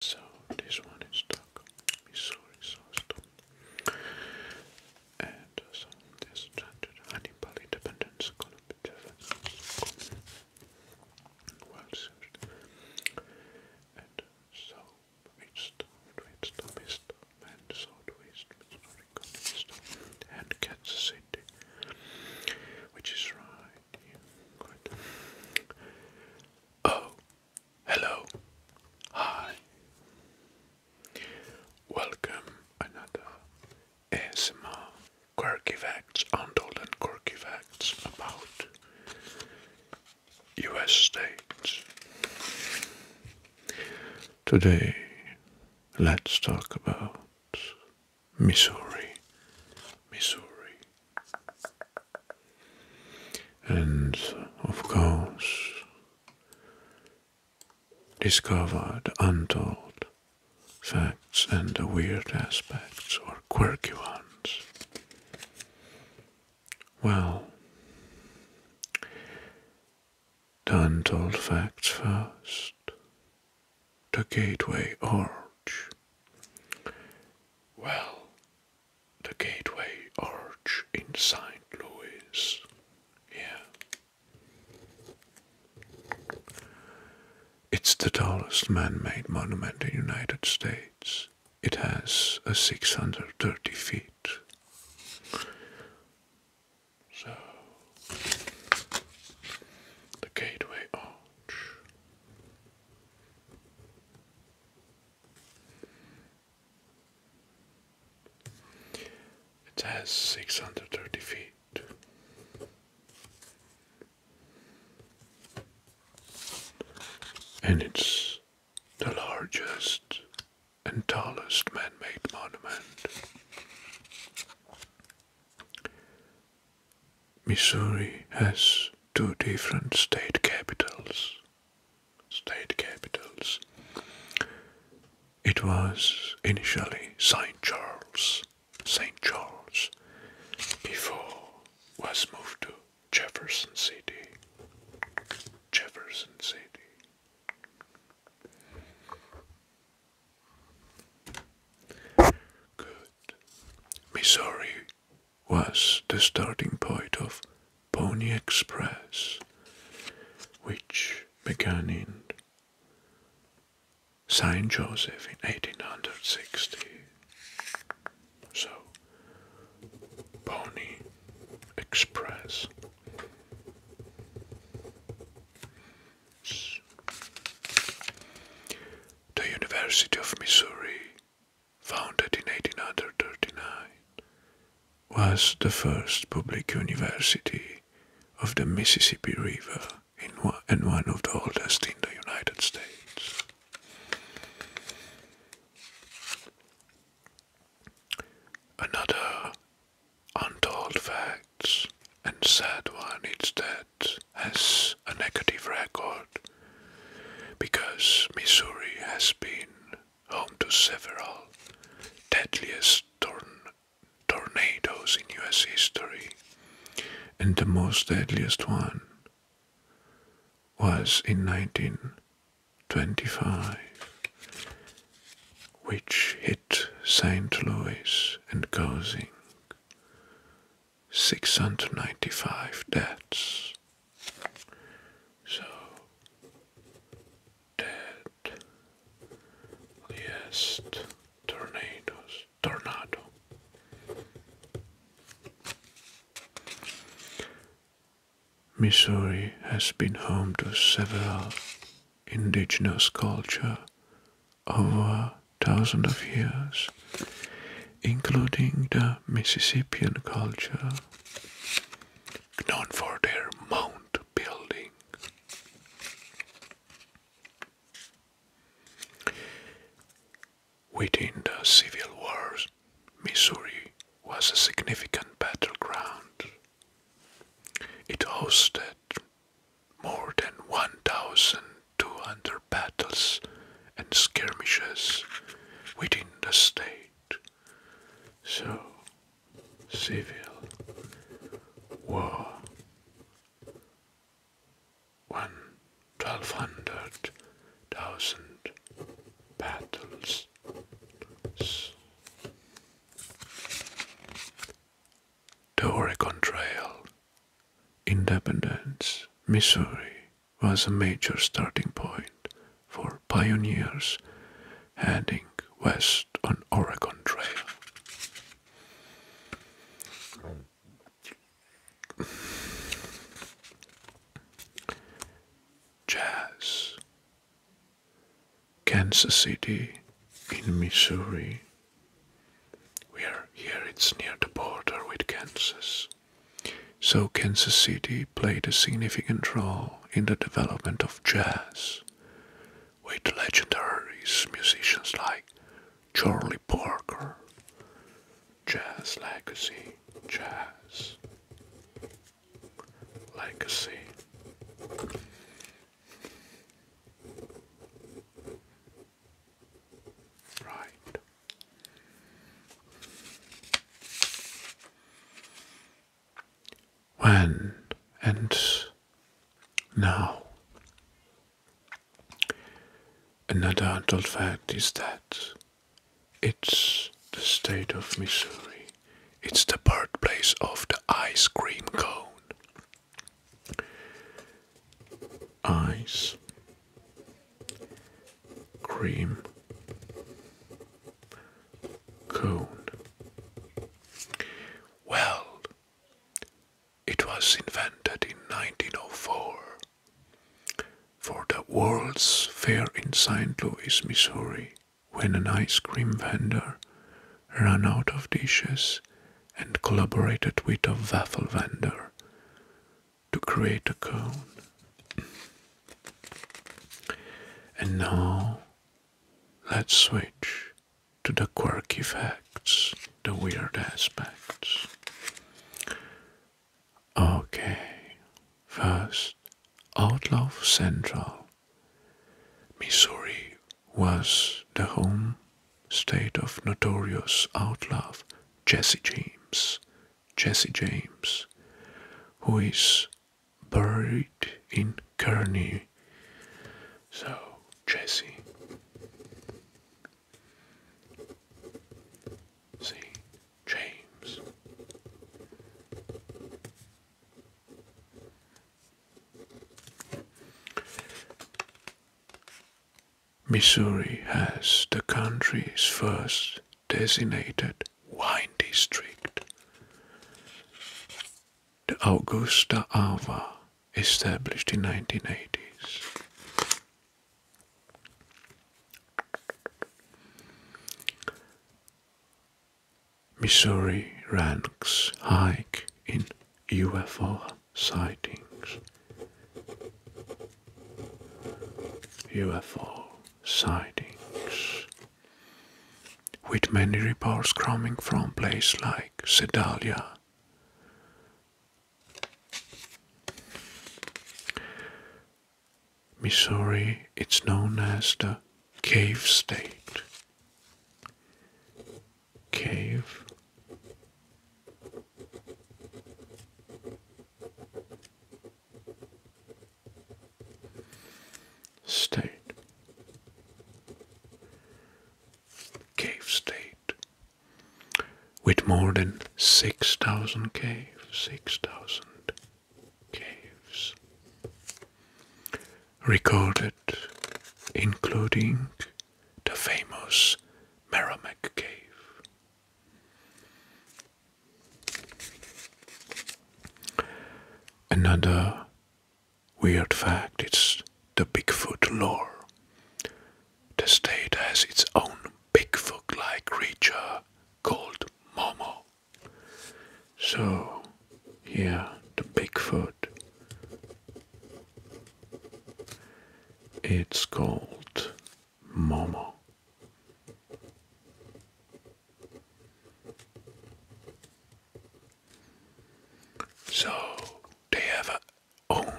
So this one is stuck, Missouri sauce so And uh, so this chanted Hannibal independence column well suited. And so twist, twist, twist, and so twist, Missouri column and Kansas City, which is right here. Good. Oh, hello. Hi. Welcome another ASMR quirky facts, untold and quirky facts about US states. Today, let's talk about Missouri. Missouri and of course discovered untold facts and the weird aspects or quirky ones. Well, untold facts first. The Gateway Arch well, the Gateway Arch in St. Louis. Yeah. It's the tallest man made monument in the United States. It has a 630 feet. So, the Gateway Arch. It has 630 feet. And it's the largest and tallest man made monument Missouri has two different state capitals. State capitals. It was initially St. Charles, St. Charles, before was moved to Jefferson City. Jefferson City. Good. Missouri was the starting point of Pony Express, which began in St. Joseph in 1860. So, Pony Express. The University of Missouri, founded in 1839, was the first public university of the Mississippi River and one of the oldest in the United States. Another untold fact and sad one is that Senate has a negative record because Missouri has been home to several deadliest tornadoes in US history, and the most deadliest one was in 1925, which hit St. Louis and causing 695 deaths. So, dead, yes, tornadoes, tornado. Missouri has been home to several indigenous culture over thousands of years, including the Mississippian culture, known for their mound building. Within the Civil Wars, Missouri was a significant battleground. It hosted more than 1,200 battles and skirmishes within the state. So, civil war. 1,200,000 battles. The Oregon Trail, Independence, Missouri, was a major starting point for pioneers heading west on Oregon Trail. Jazz. Kansas City in Missouri. We are here, it's near the border with Kansas. So, Kansas City played a significant role in the development of jazz, with legendaries musicians like Charlie Parker, Jazz Legacy, Jazz Legacy. Right. When and now. Another adult fact is that it's the state of Missouri. It's the birthplace of the ice cream cone. Ice cream cone. Well, it was invented in 1904 for the World's Fair in St. Louis, Missouri when an ice cream vendor ran out of dishes and collaborated with a waffle vendor to create a cone. And now let's switch to the quirky facts, the weird aspects. Okay, first, Outlaw Central Missouri was the home state of notorious outlaw Jesse James. Jesse James, who is buried in Kearney. So, Jesse. See, James. Missouri has the country's first designated wine district. The Augusta Ava, established in 1980s. Missouri ranks high in UFO sightings. UFO sightings. With many reports coming from places like Sedalia. Missouri, it's known as the Cave State. Cave State. Cave State. With more than 6,000 caves, 6,000 caves recorded, including the famous Merrimack Cave. Another weird fact it's the Bigfoot lore. The state has its own Bigfoot like creature called Momo. So, here the Bigfoot. It's called Momo. So they have a own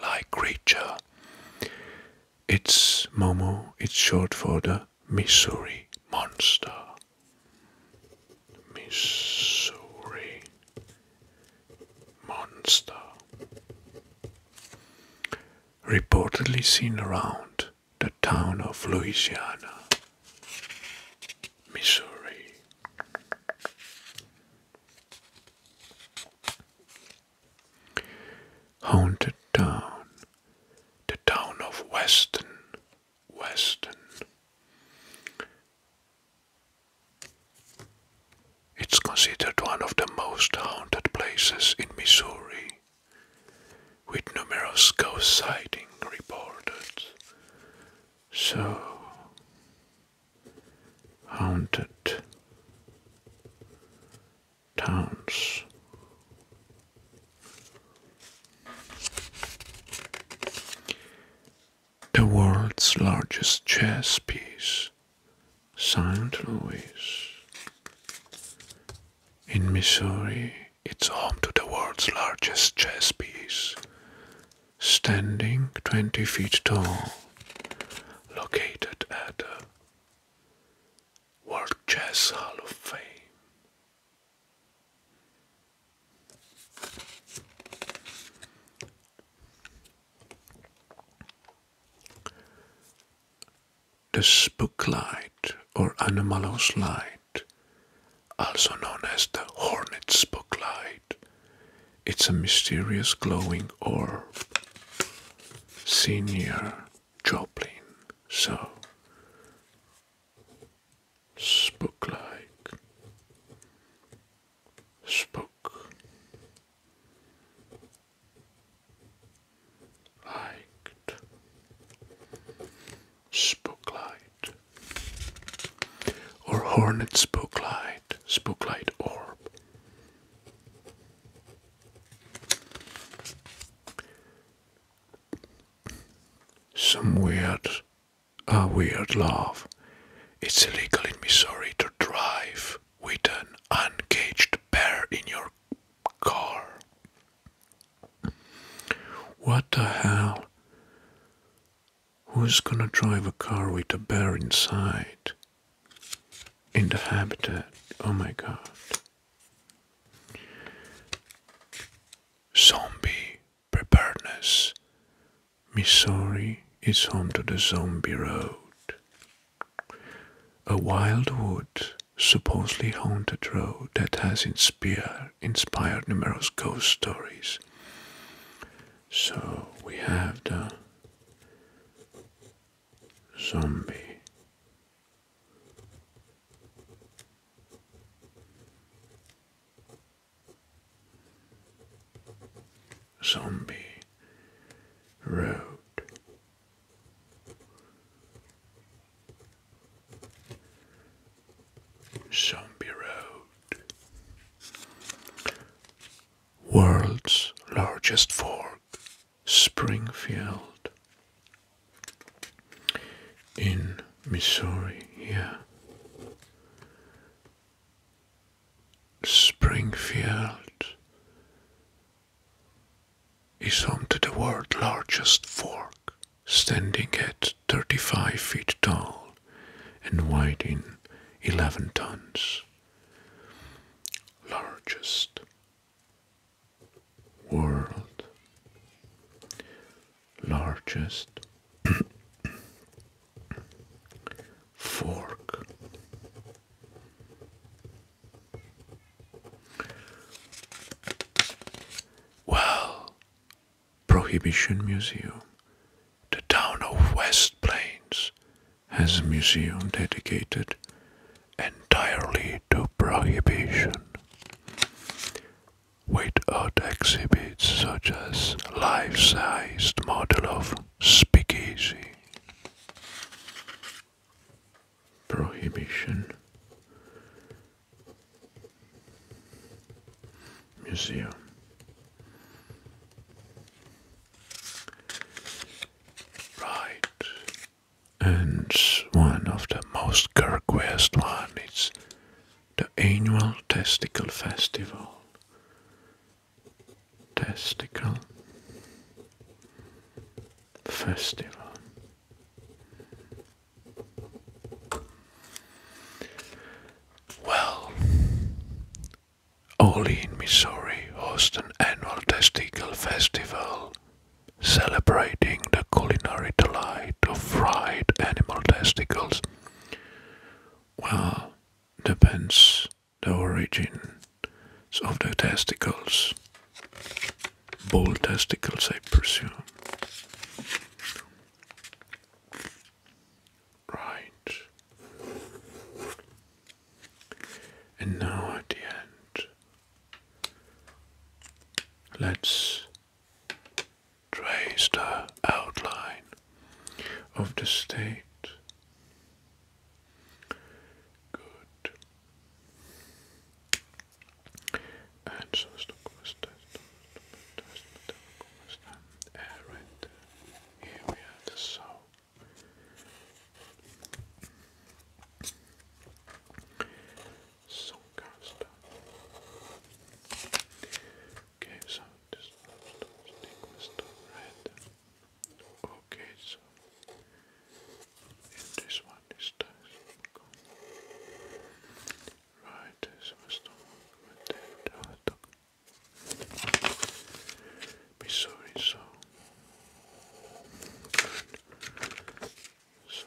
like creature. It's Momo, it's short for the Missouri Monster. Missouri Monster. Reportedly seen around the town of Louisiana, Missouri haunted town, the town of Weston. Weston. It's considered one of the most haunted places in Missouri, with numerous ghost sightings reported. So, haunted towns. The world's largest chess piece, St. Louis. In Missouri, it's home to the world's largest chess piece, standing 20 feet tall, located at World Chess Hall of Fame. The spooklight or anomalous light, also known as the hornet's spooklight, it's a mysterious glowing orb seen near. Joplin, so spook like spook liked spook or hornet spook light spook light orb some weird, a weird love. It's illegal in Missouri to drive with an uncaged bear in your car. What the hell? Who's gonna drive a car with a bear inside? in the habitat. Oh my god. Zombie preparedness. Missouri is home to the Zombie Road, a wildwood, supposedly haunted road that has inspired, inspired numerous ghost stories. So we have the zombie. Zombie Road Zombie Road World's largest fork Springfield in Missouri here. Springfield is home to the world's largest fork, standing at 35 feet tall and weighing 11 tons largest world largest fork well prohibition museum the town of west plains has a museum dedicated entirely to prohibition. With art exhibits such as life-sized model of Speakeasy. Prohibition Museum Right. And one of the most requested one is the annual testicle festival. Testicle festival. Well, Olean, Missouri hosts an annual testicle festival celebrating the culinary delight of fried animal testicles. Well, depends the origin of the testicles. Bull testicles, I presume. Right. And now at the end, let's trace the outline of the state. Good. And so, Right there. Here we have the soul. Song Okay, so this stick was Okay, so and this one is the right, this was the with the other. Missouri, so so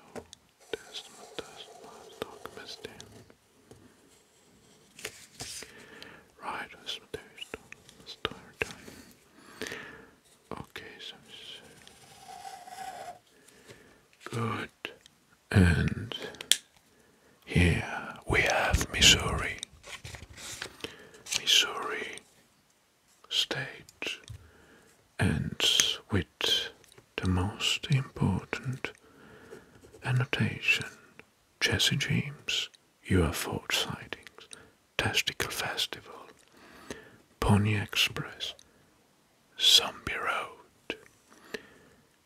that's my that's my dog Right, that's my start time. Okay, so good and here we have Missouri. Missouri state ends with the most important annotation Jesse James UFO sightings, Testicle Festival, Pony Express, Zombie Road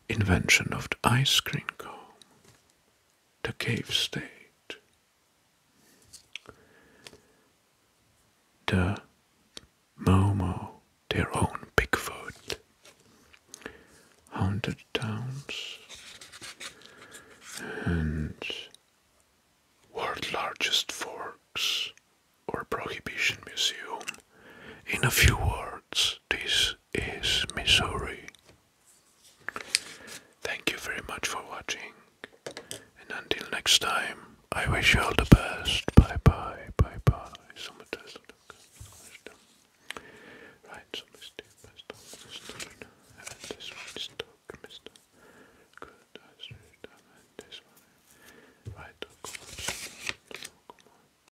invention of the ice cream cone, the cave state, the Momo, their own Bigfoot, haunted towns, and world's largest forks or prohibition museum in a few words, this is Missouri. Thank you very much for watching, and until next time, I wish you all the best. Bye bye, bye bye. Right, so Mr. and this one is stuck, Mr. Good, I see and this one. Right, oh, come on. Come on.